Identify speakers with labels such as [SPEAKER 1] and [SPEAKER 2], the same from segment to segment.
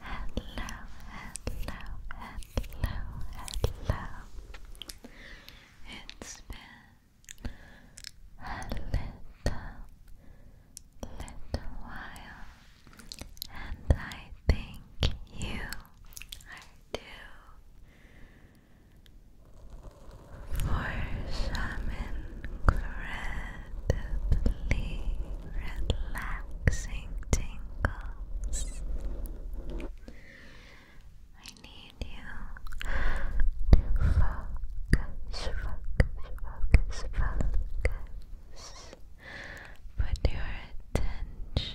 [SPEAKER 1] hello, hello, hello. It's been a little, little while, and I think you are too for some incredibly relaxing tingles. I need you to focus, focus, focus, focus. Put your attention on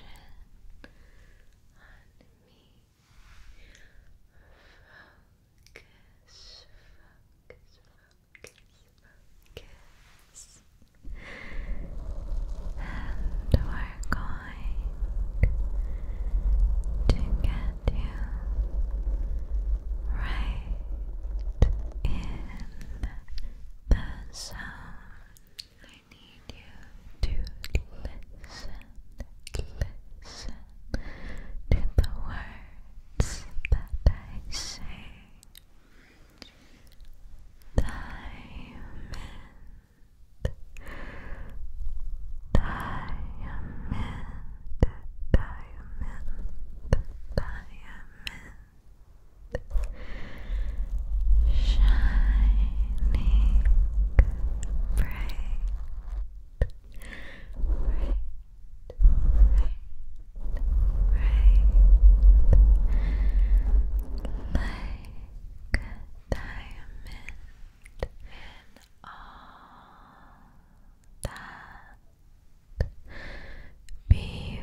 [SPEAKER 1] me focus, we're going to get you right in the zone. I need you to listen, listen, to the words that I say. Diamond, diamond, diamond, diamond, shining bright right, right, Like a in all that beauty,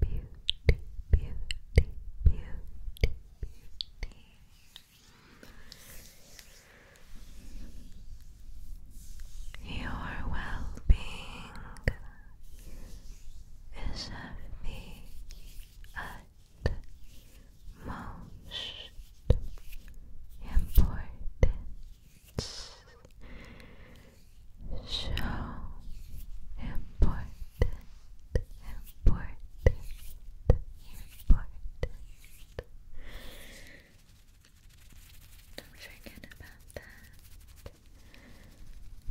[SPEAKER 1] beauty, beauty, beauty, beauty. Your well being is of the utmost importance. So important, important, important. Don't forget about that.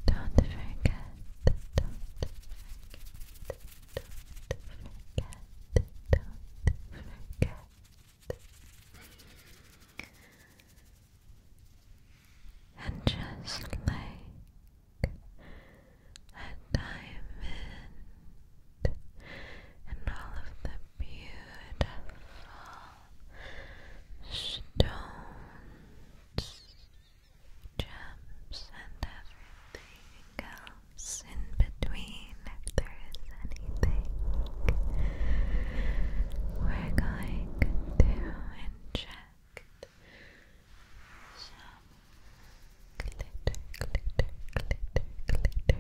[SPEAKER 1] Don't forget. Don't forget. Don't forget. Don't forget. And just like a diamond and all of the beautiful stones, gems, and everything else in between. If there is anything, we're going to inject some glitter, glitter, glitter, glitter, glitter, glitter,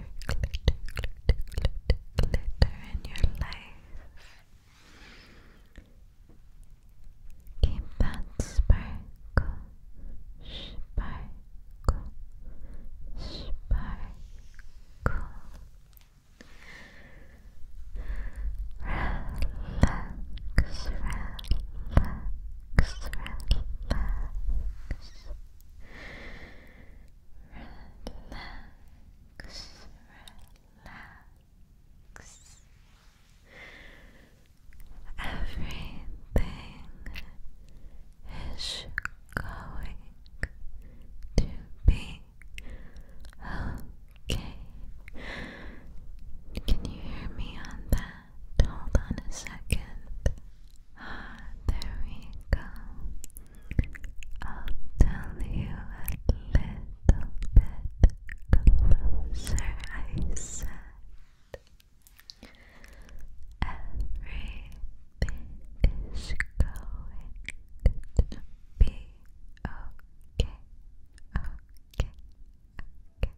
[SPEAKER 1] glitter, glitter in your life. Keep that sparkle, sparkle, sparkle.
[SPEAKER 2] Relax, relax, relax relax, relax. Everything is going to be okay. Can you hear me on that? Hold on a second. Ah, we go. I'll tell you a little bit closer. I said everything is going to be okay. Okay, okay, okay, okay, okay, okay.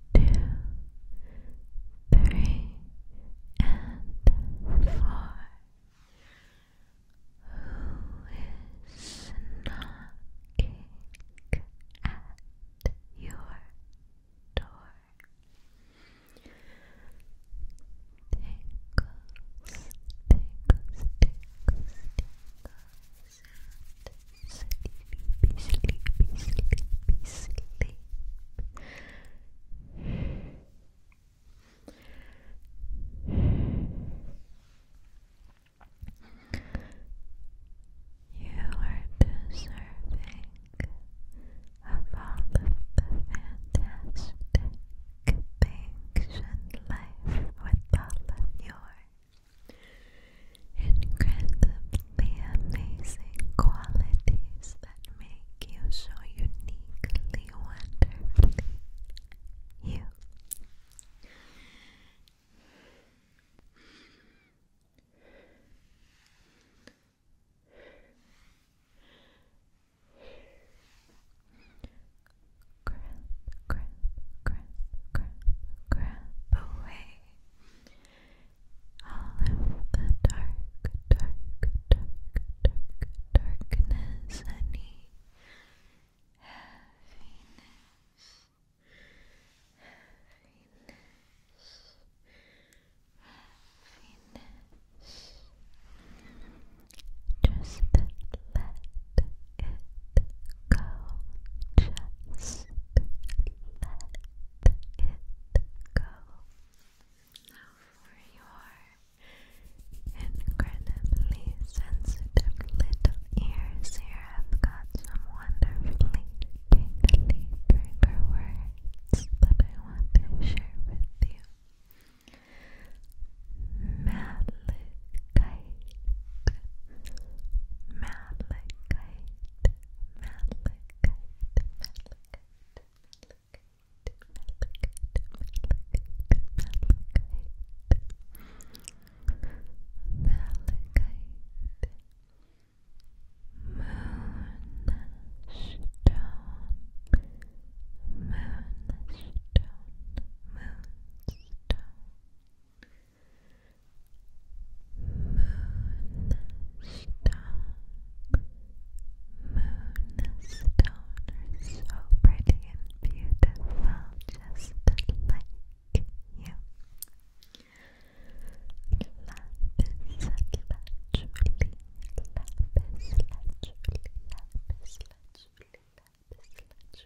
[SPEAKER 2] two, three, and four. Who is knocking at your door? Tinkles, tinkles, tinkles, tinkles sleepy, sleepy, sleepy, sleep. You are deserving of all the fantastic things in life with all of your incredibly amazing qualities that make you so uniquely, wonderfully you. Grab, grab, grab, grab, away all of the dark, dark, dark, dark, darkness, any heaviness, heaviness, heaviness. Just let it go just let it go for your incredibly sensitive little ears here I've got some wonderfully tingly trigger words that I want to share with you Malachite Malachite moonstone Moonstone are so pretty and beautiful, just like you. Lapis lazuli, lapis lazuli, lapis lazuli, lapis lazuli.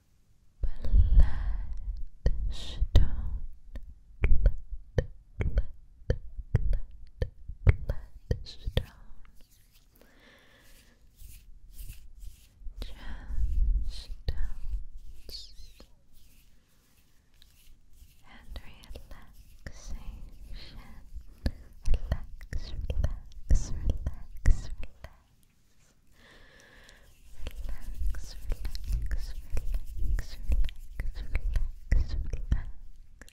[SPEAKER 1] Bloodstone, blood, blood, blood, bloodstone, gemstones, and relaxation. Relax, relax, relax, relax relax, relax, relax, relax, relax.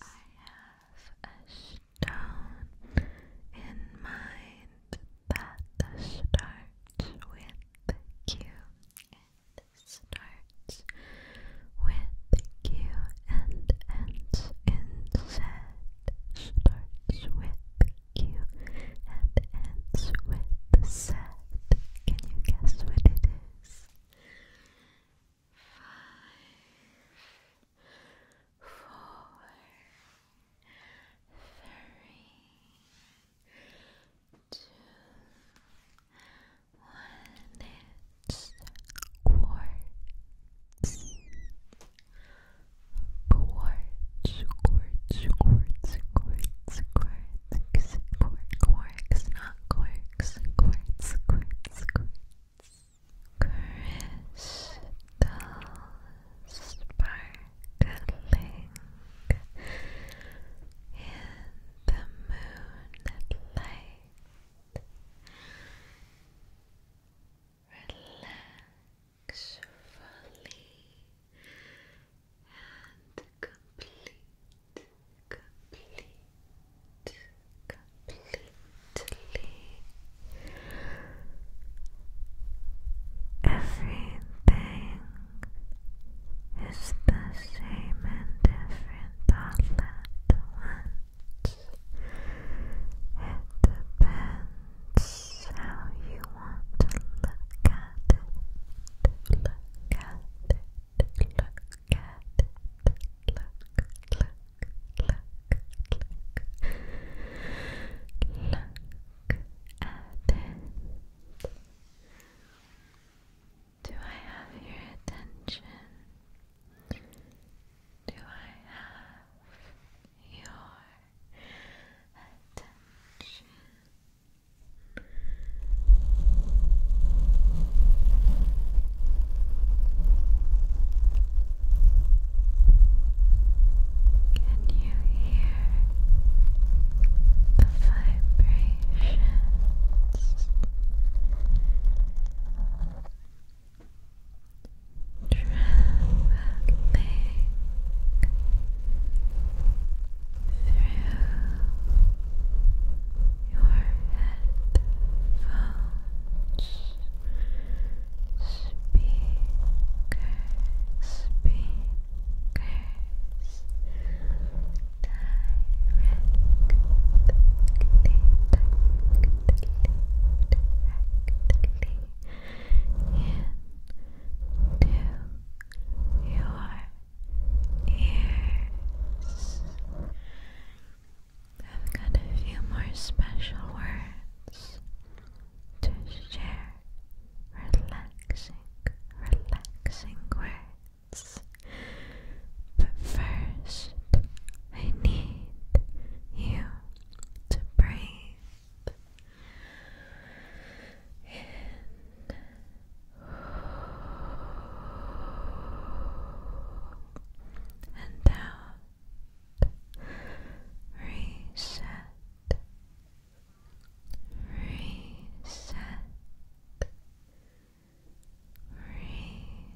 [SPEAKER 1] I have a stone in mind that starts with Q. It starts with Q and ends in Z. Starts with Q ends with Z. Can you guess what it is? Five, four, three, two, one. It's quartz quartz, quartz, quartz, quartz, quartz, quartz, quarks, not quarks, quartz, quartz, quartz, crystal sparkling in the moonlit light. Relax. It's fully and complete, complete, completely everything is the same and different at once. It depends how you want to look at Look at Look at it. Look, look, look, look. Look at it. Do I have your attention? Do I have your attention. Can you hear the vibrations? traveling through your headphones, speakers, speakers, directly, directly, directly into your ears. I've got a few more special words to share. Relaxing, relaxing words. But first, I need you to breathe in and out. Reset. Reset.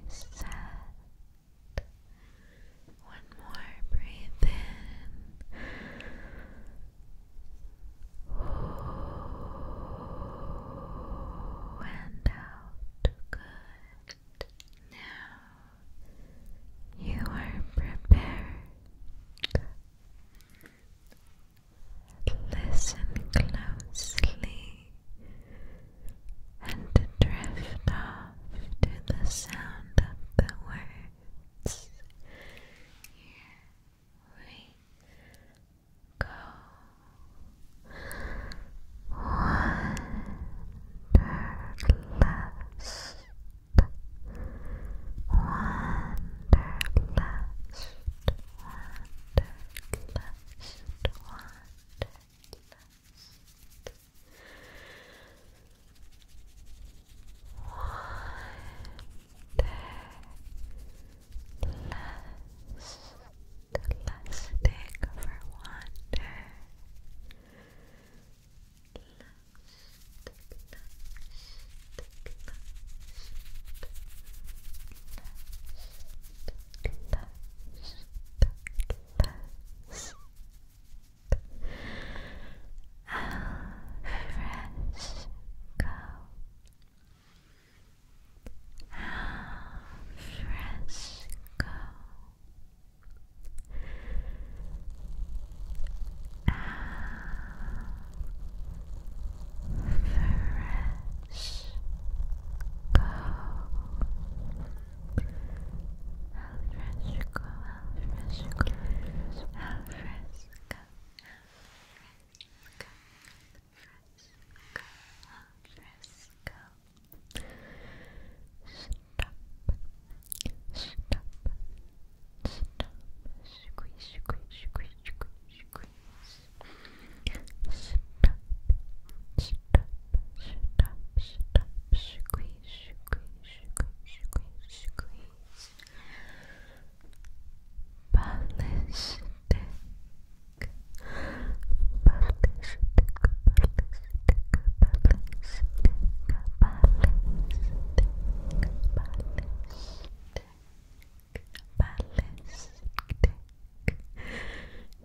[SPEAKER 1] Reset. One more, breath in. And out. Good. Now you are prepared. Listen closely and
[SPEAKER 2] drift off off to the sound of the words. we go. Wanderlust. Wanderlust. Wanderlust. Wanderlust lusting for wonder Lust, lust, lust, lust, lust, lust, lust, lust, lust, lust, lust, lust, lust, Alfresco. Alfresco. Alfresco. Alfresco, alfresco, alfresco, alfresco, alfresco, alfresco, Stop, stop, stop. Squeeze, squeeze, squeeze, squeeze, squeeze. Stop, stop, stop, stop, squeeze squeeze, squeeze. Ballistic, ballistic, ballistic, ballistic, ballistic, ballistic.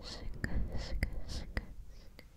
[SPEAKER 2] Ballistic, sing, sing, sing, sing,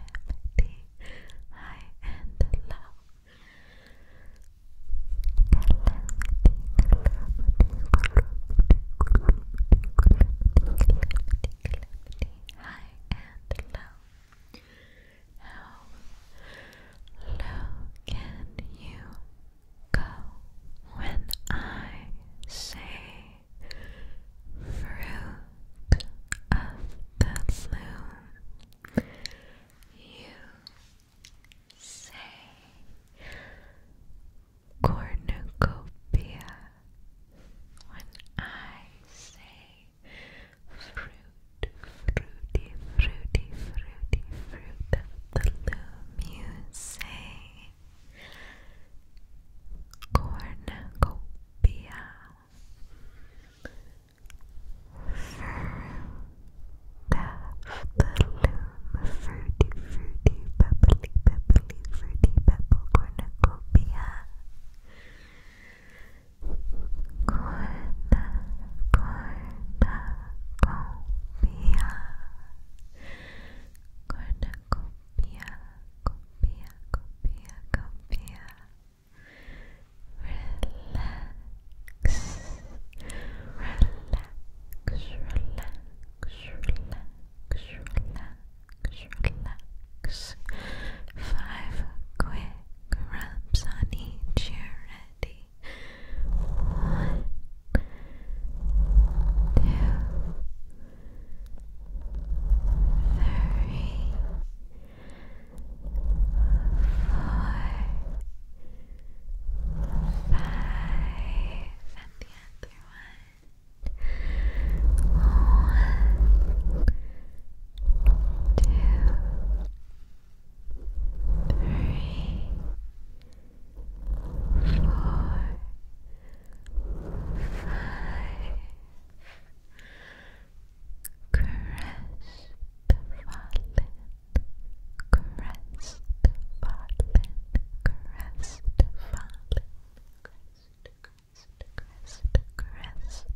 [SPEAKER 2] calamity, high and low. Calamity, calamity, calamity, calamity, calamity, high and low. How low can you go when I say fruit of the bloom. You say cornucopia when I say fruit, fruity, fruity, fruity, fruit of the loom. You say cornucopia fruit loom fruity fruity pebbly pebbly fruity pebble cornucopia corna cornucopia cornucopia copia, copia, copia, copia. Relax, relax, relax, relax, relax, relax. Five quick rubs on each ear. Ready? One, two three, four, five, and the other one. One, two, five Crestfallen, crestfallen, crestfallen Crest, crest, crest, crestfallen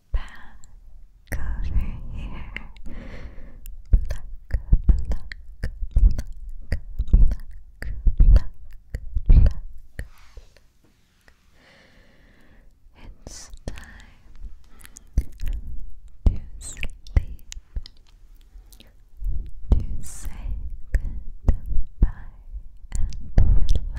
[SPEAKER 2] back over here. Pluck, pluck, pluck, pluck, pluck, pluck. It's time to sleep, to say goodbye and relax.